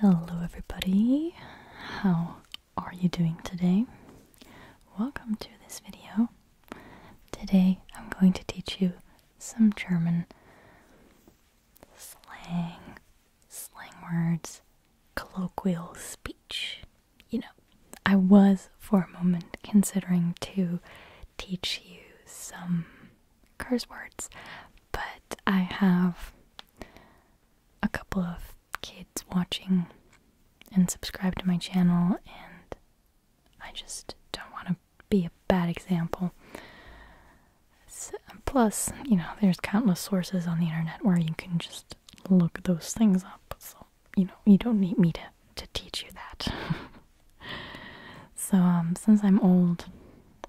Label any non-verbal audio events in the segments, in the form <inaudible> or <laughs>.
Hello, everybody. How are you doing today? Welcome to this video. Today I'm going to teach you some German slang, slang words, colloquial speech. You know, I was for a moment considering to teach you some curse words, but I have a couple of kids watching and subscribe to my channel, and I just don't want to be a bad example. plus, you know, there's countless sources on the internet where you can just look those things up, so you know, you don't need me to, to teach you that. <laughs> so, um, since I'm old,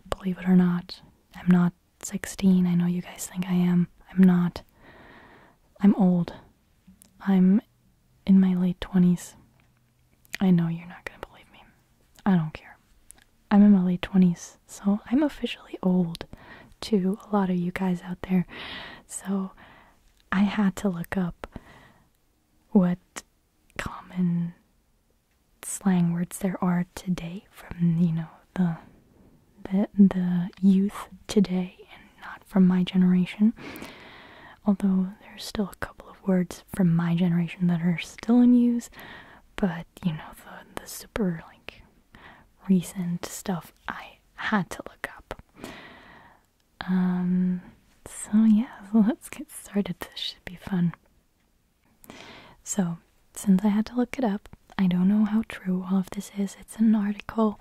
believe it or not, I'm not 16. I know you guys think I am. I'm not. I'm old. I'm in my late 20s. I know you're not going to believe me. I don't care. I'm in my late 20s, so I'm officially old to a lot of you guys out there. So I had to look up what common slang words there are today from you know the the the youth today and not from my generation. Although there's still a couple of words from my generation that are still in use, but you know the the super like recent stuff I had to look up. Um so yeah, so <laughs> let's get started. This should be fun. So, since I had to look it up, I don't know how true all of this is. It's an article,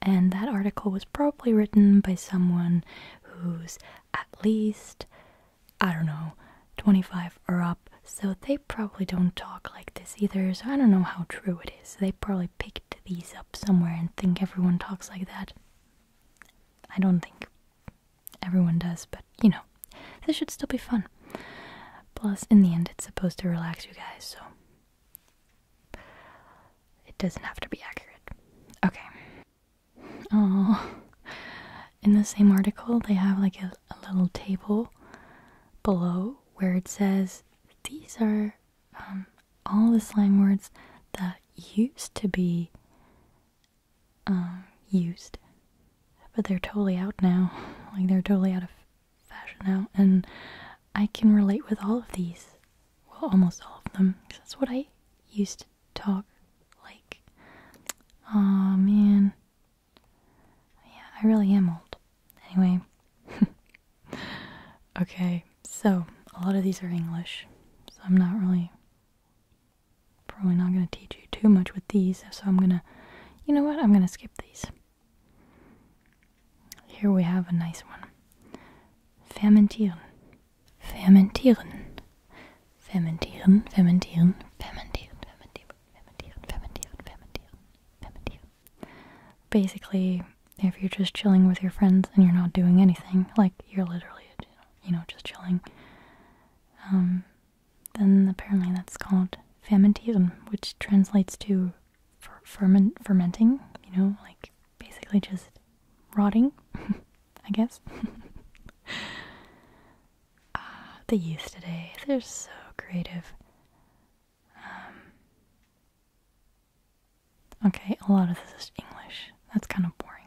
and that article was probably written by someone who's at least, I don't know, 25 or up. So, they probably don't talk like this either. So, I don't know how true it is. They probably picked these up somewhere and think everyone talks like that. I don't think everyone does, but you know, this should still be fun. Plus, in the end, it's supposed to relax you guys, so it doesn't have to be accurate. Okay. Oh, in the same article, they have like a, little table below where it says these are um, all the slang words that used to be uh, used, but they're totally out now. <laughs> Like they're totally out of fashion now, and I can relate with all of these. Well, almost all of them, because that's what I used to talk like. Aw, man. Yeah, I really am old. Anyway. <laughs> okay, so a lot of these are English, so I'm not really probably not going to teach you too much with these, so I'm going to, you know what, I'm going to skip these. Here we have a nice one. Fermentieren. Fermentieren. Fermentieren, fermentieren, fermentieren, fermentieren, fermentieren, fermentieren, fermentieren, fermentieren. Basically, if you're just chilling with your friends and you're not doing anything, like you're literally, you know, just chilling, um, then apparently that's called fermentieren, which translates to fermenting. You know, like basically just rotting, <laughs> I guess. <laughs> Ah, the youth today, they're so creative. Um, okay, a lot of this is English. That's kind of boring.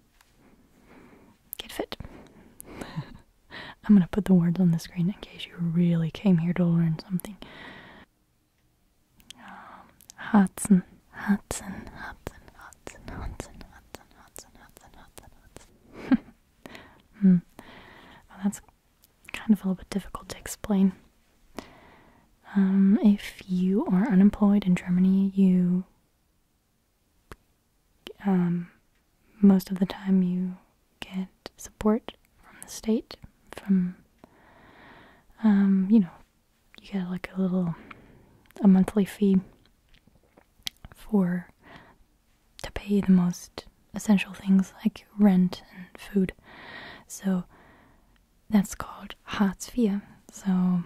Get fit. <laughs> I'm gonna put the words on the screen in case you really came here to learn something. Um, Hudson, Hudson, Hudson, Hudson, Hudson, Hudson, Hudson, Hudson, Hudson, <laughs> hmm. that's kind of a little bit difficult to explain. Um, if you are unemployed in Germany, you um, most of the time you get support from the state, from, um, you know, you get like a little, a monthly fee for, to pay the most essential things like rent and food. So that's called Hartz IV. So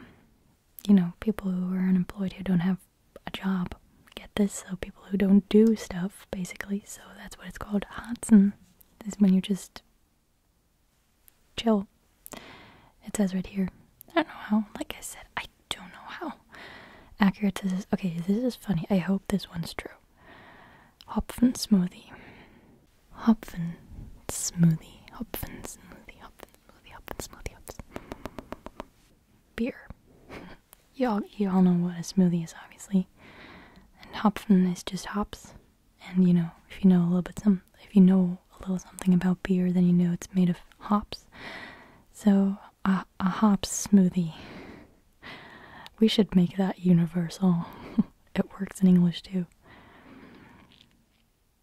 you know, people who are unemployed who don't have a job get this, so people who don't do stuff, basically. So that's what it's called. Hansen is when you just chill. It says right here. I don't know how. Like I said, I don't know how accurate this is. Okay, this is funny. I hope this one's true. Hopfen smoothie. Hopfen smoothie. Hopfen smoothie. Hopfen smoothie up, smoothie ups. Beer. <laughs> y'all, y'all know what a smoothie is, obviously. And hopfen is just hops. And you know, if you know a little bit some, if you know a little something about beer, then you know it's made of hops. So a, a hops smoothie. We should make that universal. <laughs> it works in English too.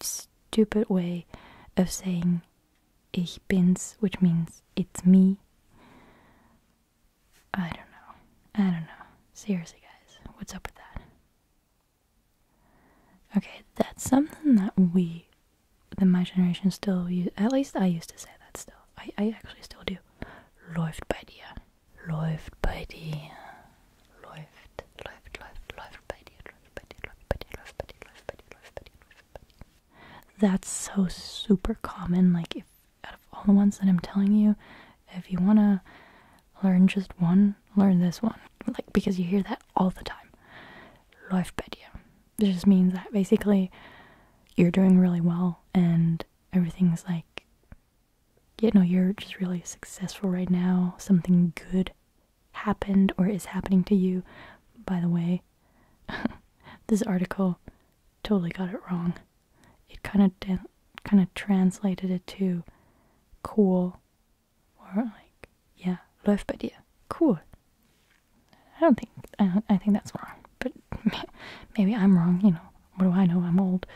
stupid way of saying ich bin's, which means it's me. I don't know. I don't know. Seriously, guys, what's up with that? Okay, that's something that we, that my generation still use. At least I used to say that still. I, actually still do. Läuft bei dir. Läuft bei dir. That's so super common. Like, if out of all the ones that I'm telling you, if you want to learn just one, learn this one. Like, because you hear that all the time. Läuft bei dir. just means that basically you're doing really well and everything's like, you know, you're just really successful right now. Something good happened or is happening to you. By the way, <laughs> this article totally got it wrong. It kind of kind of translated it to cool or like yeah, läuft bei dir. Cool. I don't think I think that's wrong, but <laughs> maybe I'm wrong, you know. What do I know? I'm old.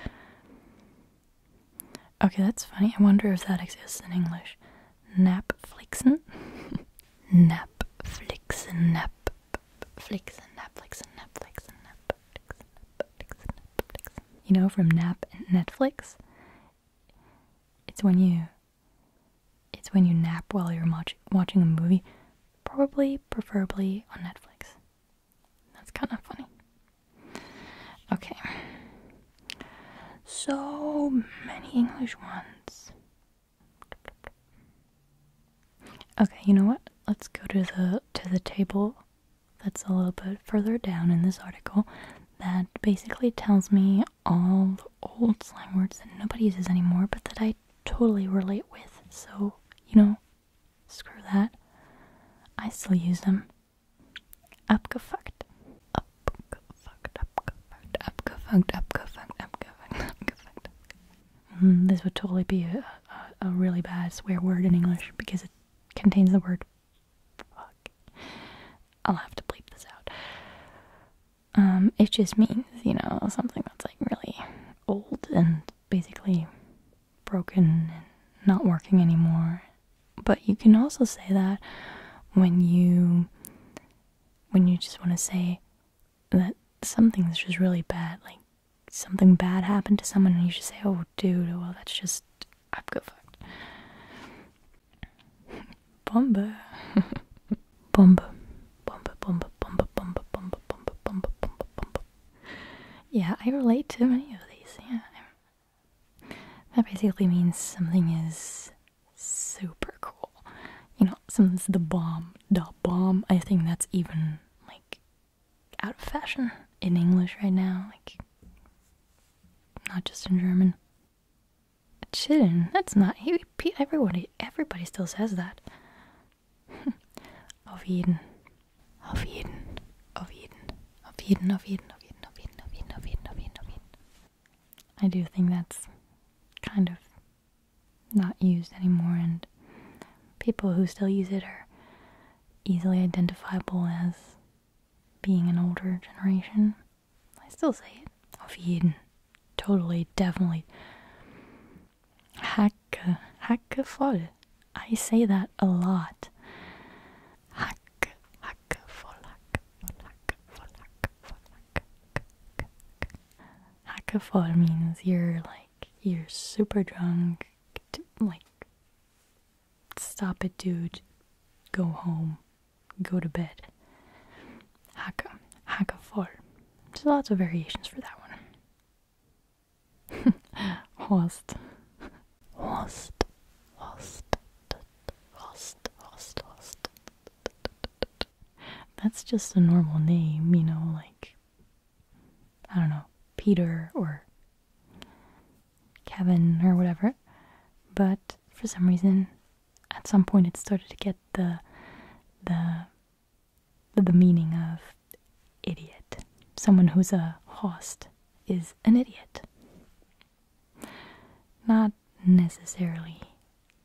Okay, that's funny. I wonder if that exists in English. Napflixen? Napflixen, nap. Flixen, Netflixen, Netflixen, Netflixen, Netflixen, You know, from nap and Netflix. It's when you, it's when you nap while you're watch, watching a movie, probably, preferably on Netflix. That's kind of funny. Okay. So many English ones. Okay, you know what? Let's go to the to the table that's a little bit further down in this article that basically tells me all the old slang words that nobody uses anymore but that I totally relate with. So, you know, screw that. I still use them. Abgefuckt. Abgefuckt, abgefuckt, abgefuckt, abgefuckt, abgefuckt, abgefuckt. Mm, this would totally be a, a, a really bad swear word in English because it contains the word fuck. I'll have to bleep this out. Um, it just means, you know, something that's like really old and basically broken and not working anymore but you can also say that when you when you just want to say that something's just really bad, like something bad happened to someone, and you just say, "Oh, dude, well, that's just I've got fucked." Bomba, <laughs> bomba, bomba, bomba, bomba, bomba, bomba, bomba, bomba, bomba, Yeah, I relate to many of these. Yeah, that basically means something is super cool. You know, something's the bomb. The bomb. I think that's even like out of fashion in English right now. Like, not just in German. Chillen. That's not. He, everybody, everybody still says that. Of <laughs> Eden, of Eden, of Eden. Auf Eden, auf Eden, auf Eden, auf Eden, auf Eden, auf Eden, auf jeden, I do think that's kind of not used anymore, and people who still use it are easily identifiable as being an older generation. I still say it. Auf Eden. Totally, definitely. Hacke, uh, hacke voll. Uh, I say that a lot. Hack, hack, vollhack, vollhack, vollhack, vollhack. Hackafall means you're like you're super drunk, like stop it, dude, go home, go to bed. haka hackafall. There's lots of variations for that one. <laughs> Horst. Host, host, host, host, host. That's just a normal name, you know, like, I don't know, Peter or Kevin or whatever. But for some reason, at some point, it started to get the, the, the meaning of idiot, someone who's a host is an idiot. Not necessarily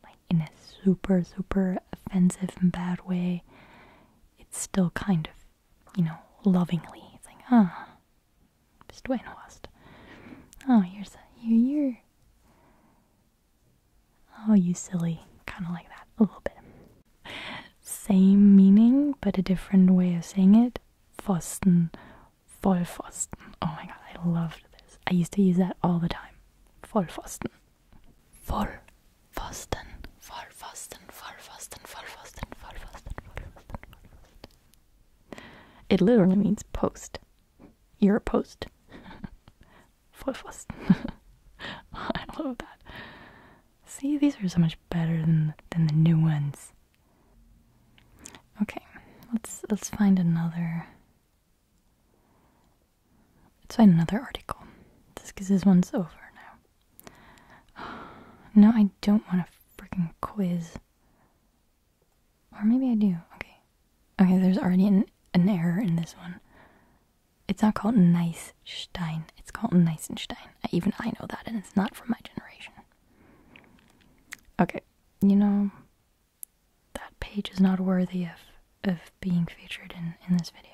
like in a super, super offensive bad way. It's still kind of, you know, lovingly. It's like, ah, bist du Oh, you're, here. you're, you oh, you silly. Kind of like that, a little bit. Same meaning, but a different way of saying it. Pfosten, Vollpfosten. Oh my god, I loved this. I used to use that all the time. Vollpfosten. Vollpfosten. Vollpfosten. Vollpfosten. Vollpfosten. Vollpfosten. Vollpfosten. It literally means post. You're a post. <laughs> Vollpfosten. <laughs> I love that. See, these are so much better than than the new ones. Okay, let's let's find another. Let's find another article. This because this one's over now. no, I don't want a freaking quiz. Or maybe I do. Okay. Okay, there's already an, an error in this one. It's not called Nice Stein. It's called Nicenstein. Even I know that, and it's not from my generation. Okay, you know, that page is not worthy of of being featured in in this video.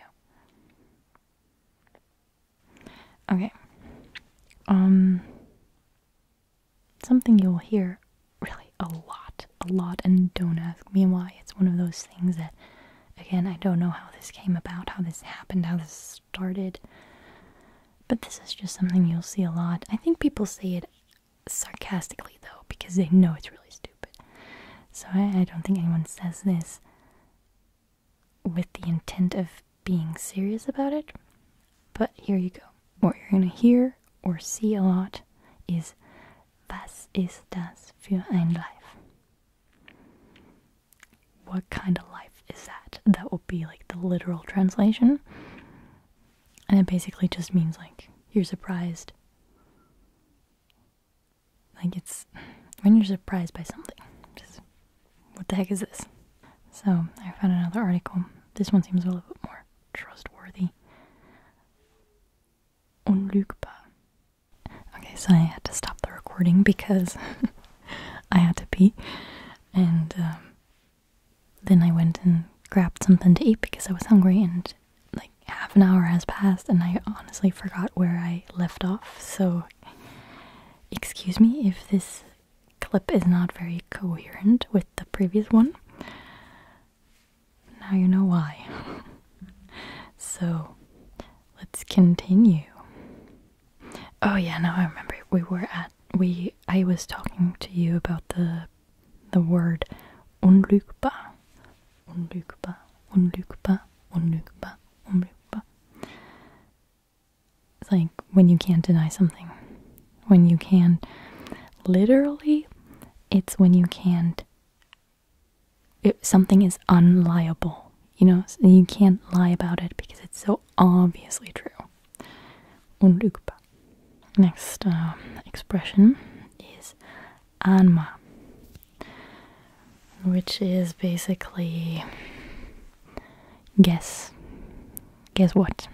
Okay. Um something you'll hear really a lot, a lot and don't ask me why. It's one of those things that again, I don't know how this came about, how this happened, how this started. But this is just something you'll see a lot. I think people say it sarcastically though, because they know it's really stupid. So I, don't think anyone says this with the intent of being serious about it. But here you go. What you're gonna hear or see a lot is Was ist das für ein Life? what kind of life is that? That would be like the literal translation. And it basically just means like you're surprised. Like it's when you're surprised by something. Just what the heck is this? So I found another article. This one seems a little bit more trustworthy. Unlügbar. Okay, so I had to stop the recording because <laughs> <laughs> I had to pee, and um, then I went and grabbed something to eat because I was hungry. And like half an hour has passed, and I honestly forgot where I left off. So, excuse me if this clip is not very coherent with the previous one. Now you know why. <laughs> so, let's continue. Oh yeah, now I remember. We were at we. I was talking to you about the the word unlukba, unlukba, unlukba, unlukba, unlukba. It's like when you can't deny something, when you can. Literally, it's when you can't. It, something is unliable. You know, you can't lie about it because it's so obviously true. Next um, expression is anma, which is basically guess. Guess what?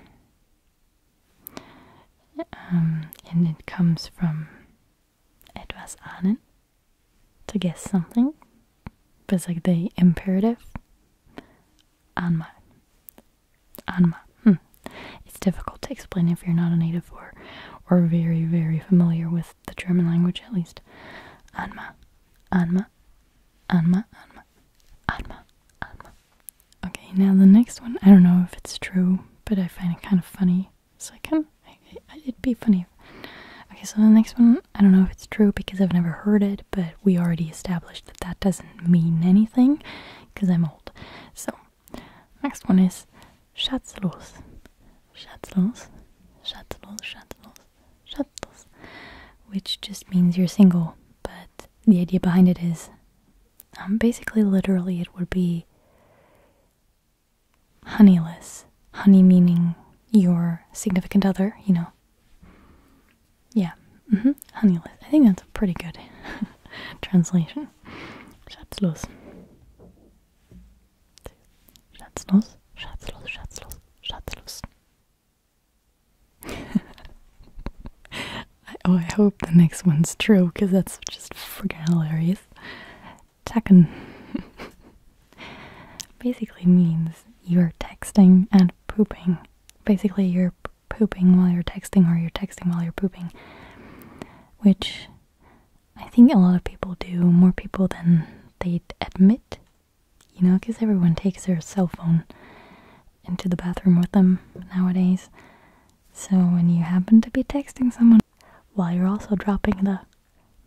Um, and it comes from etwas ahnen, to guess something, but it's like the imperative. Anma. Anma. Hmm. It's difficult to explain if you're not a native or, or very, very familiar with the German language at least. Anma. Anma. Anma. Anma. Anma. Anma. Okay, now the next one, I don't know if it's true, but I find it kind of funny. Second. It'd be funny. Okay, so the next one, I don't know if it's true because I've never heard it, but we already established that that doesn't mean anything because I'm old. So, next one is schatzlos. Schatzlos. Schatzlos, schatzlos, schatzlos. Which just means you're single, but the idea behind it is um, basically, literally, it would be honeyless. Honey meaning your significant other, you know. Yeah, mm -hmm. honeyless. I think that's a pretty good <laughs> translation. Schatzlos. Schatzlos, schatzlos, schatzlos, schatzlos. <laughs> I, oh, I hope the next one's true because that's just freaking hilarious. Tekken <laughs> basically means you're texting and pooping. Basically, you're pooping while you're texting, or you're texting while you're pooping, which I think a lot of people do, more people than they admit, you know, because everyone takes their cell phone into the bathroom with them nowadays. So when you happen to be texting someone, while you're also dropping the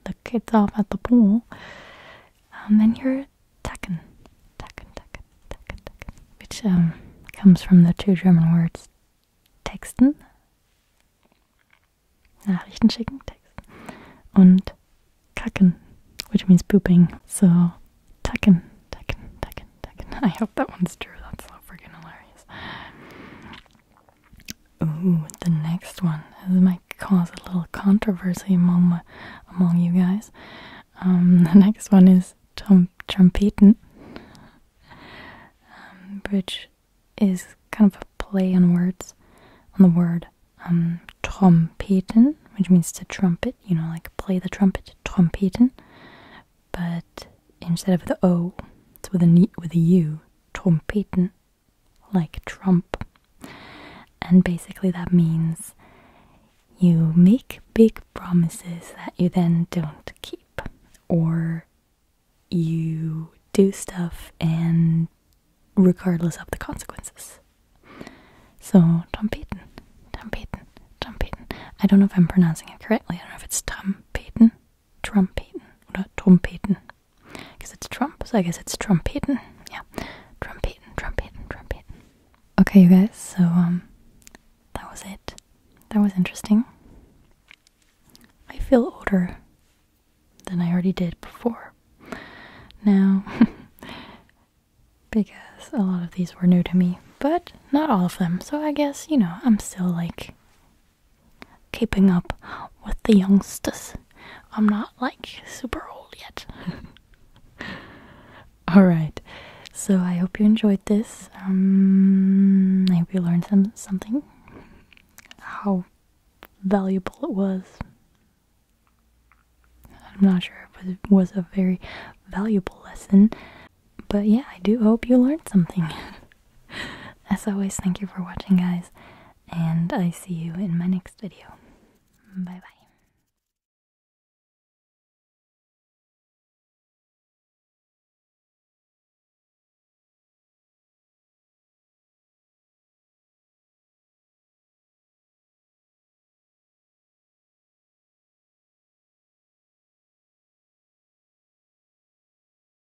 the kids off at the pool, um, then you're Tekken, Tekken, Tekken, Tekken, Tekken, which um, comes from the two German words texten, Nachrichten schicken, texten, und kacken, which means pooping. So Tekken, Tekken, Tekken, Tekken. I hope that one's true. That's so freaking hilarious. Ooh, the next one. might cause a little controversy among among you guys. Um, <laughs> the next one is Tom Trompeten, um, which is kind of a play on words, on the word um, Trompeten, which means to trumpet, you know, like play the trumpet, Trompeten. But instead of the O, it's with a, with a U, Trompeten like Trump. And basically, that means you make big promises that you then don't keep, or you do stuff and regardless of the consequences. So, Tom Payton, Tom Payton, Tom Payton. I don't know if I'm pronouncing it correctly. I don't know if it's Tom Peyton. Trumpet or Trompeten. Because it's Trump, so I guess it's Trompeten. Yeah, Trompeten, Trompeten, Trompeten. Okay, guys, so um, that was it. That was interesting. I feel older than I already did before. Now, <laughs> because a lot of these were new to me, but not all of them, so I guess, you know, I'm still like keeping up with the youngsters. I'm not like super old yet. <laughs> Alright, so I hope you enjoyed this. Um, I hope you learned some, something. How valuable it was. I'm not sure if it was a very valuable lesson, but yeah, I do hope you learned something. <laughs> As always, thank you for watching, guys, and I see you in my next video. Bye bye.